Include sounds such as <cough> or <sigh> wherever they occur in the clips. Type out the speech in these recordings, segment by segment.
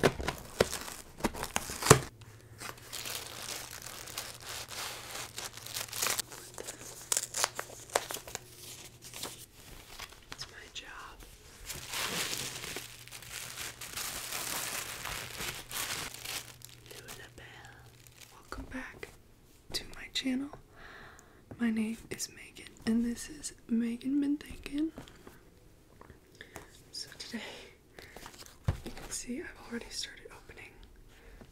It's my Welcome back to my channel. My name is Megan, and this is Megan Been Thinking. So today, you can see I've already started opening,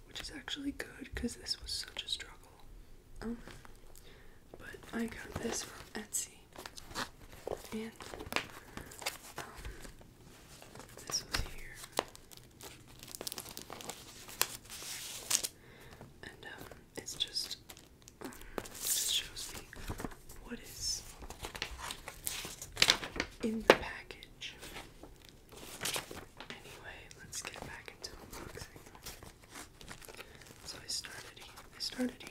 which is actually good because this was such a struggle. Oh. but I got this from Etsy, and um, this was here, and um, it's just um, shows me what is in the package. Anyway, let's get back into unboxing. So I started. I started here.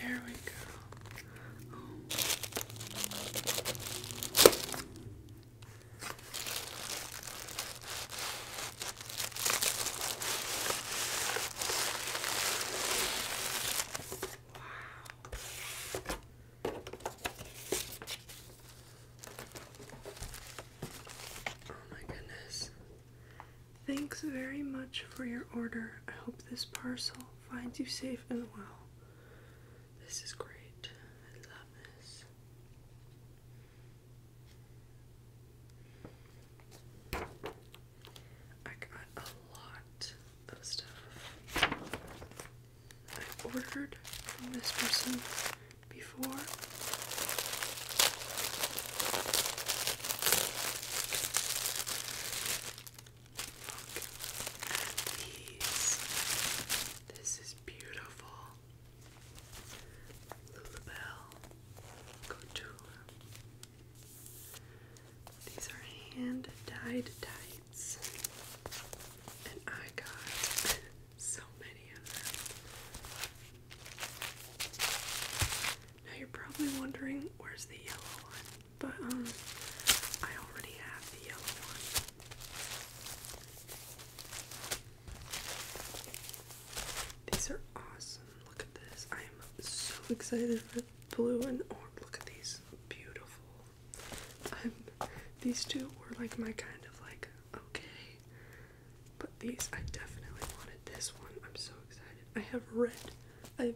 There we go. Oh. my goodness. Thanks very much for your order. I hope this parcel finds you safe and well. This is great. I love this. I got a lot of stuff. I ordered from this person before at these. This is beautiful. Lulabelle These are hand dyed tights. And I got <laughs> so many of them. Now you're probably wondering where's the yellow one, but um, I already have the yellow one. These are awesome. Look at this. I am so excited for blue and orange. Look at these. Beautiful. I'm, these two were like my kind of like, okay. But these, I definitely wanted this one. I'm so excited. I have red. I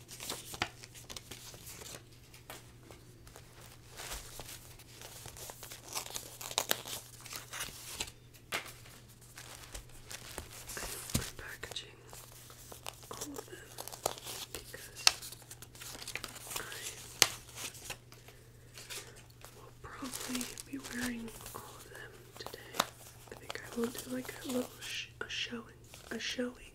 I'm packaging all of them because I will probably be wearing all of them today. I think I will do like a little a showing, a showing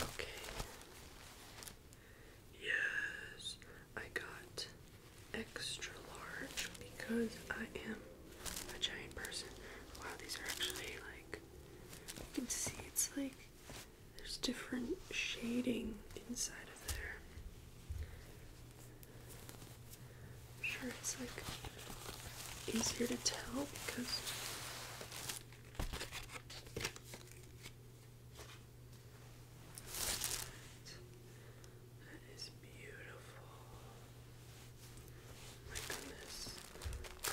Okay. Yes, I got extra large because I am a giant person. Wow, these are actually like you can see it's like there's different shading inside of there. I'm sure it's like easier to tell because that is beautiful. Oh my goodness. I,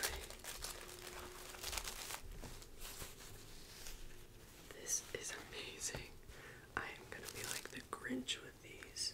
this is amazing. I am going to be like the Grinch with these.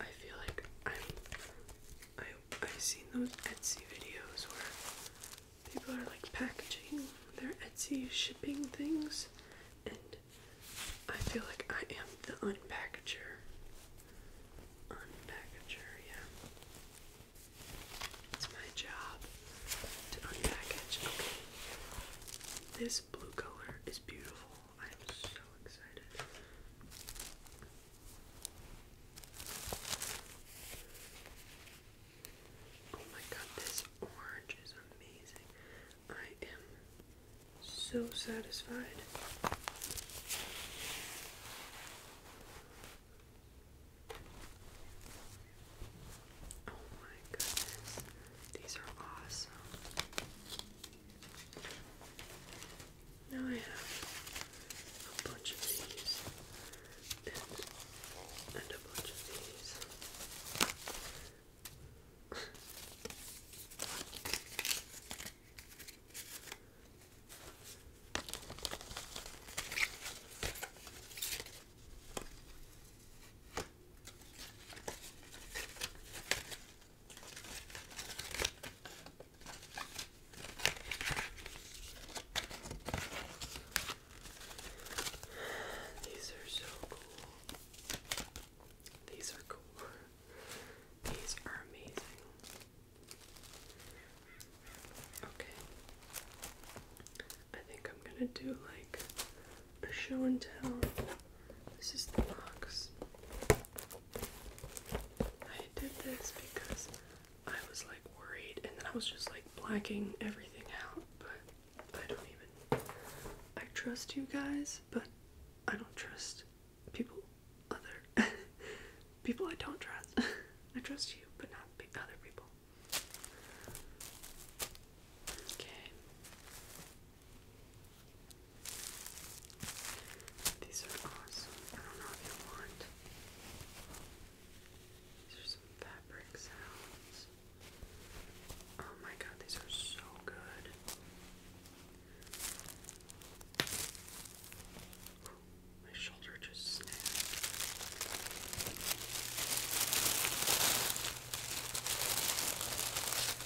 I feel like I'm I I've seen those Etsy videos where people are like packaging their Etsy shipping things and I feel like I am the unpackager. Unpackager, yeah. It's my job to unpackage. Okay. This blue color is beautiful. I'm so excited. Oh my god, this orange is amazing. I am so satisfied. Oh my goodness, these are awesome. Now I have a bunch of these and, a bunch of these. These are so cool. These are cool. These are amazing. Okay. I think I'm gonna do like a show and tell. This is the box. I did this because I was like worried and then I was just like blacking everything out, but I don't even. I trust you guys, but I don't trust people other. <laughs> people I don't trust. <laughs> I trust you, but not other people. Okay. These are awesome. I don't know if you want. These are some fabric sounds. Oh my god, these are so good. My shoulder just snapped.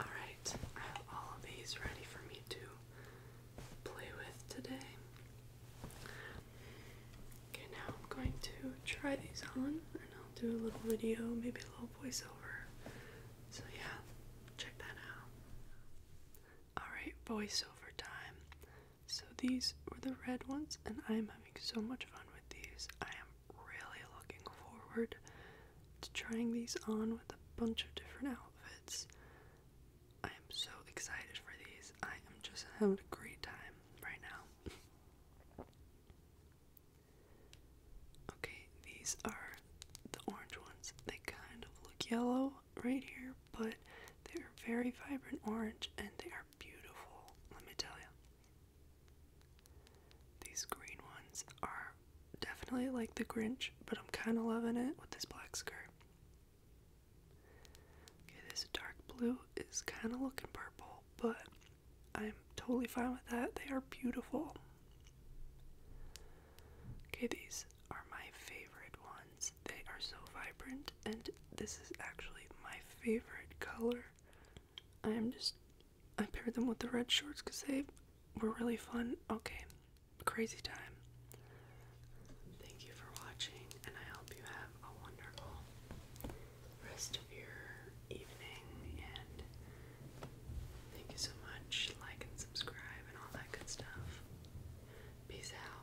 Alright, I have all of these ready for me to play with today. Okay, now I'm going to try these on and I'll do a little video, maybe a little voiceover. So, yeah, check that out. Alright, voiceover time. So these were the red ones, and I am having so much fun with these. I am really looking forward to trying these on with a bunch of different outfits. I am so excited for these. I am just having a great time right now. <laughs> okay, these are the orange ones. They kind of look yellow right here, but they're very vibrant orange and they are beautiful, let me tell you. These green ones are definitely like the Grinch, but I'm kind of loving it with this black skirt. Okay, this dark blue is kind of looking purple, but I'm totally fine with that. They are beautiful. Okay, these are my favorite ones they are so vibrant, and this is actually my favorite color. I am just. I paired them with the red shorts because they were really fun. Okay, crazy time. Thank you for watching, and I hope you have a wonderful rest of your evening. And thank you so much. Like and subscribe, and all that good stuff. Peace out.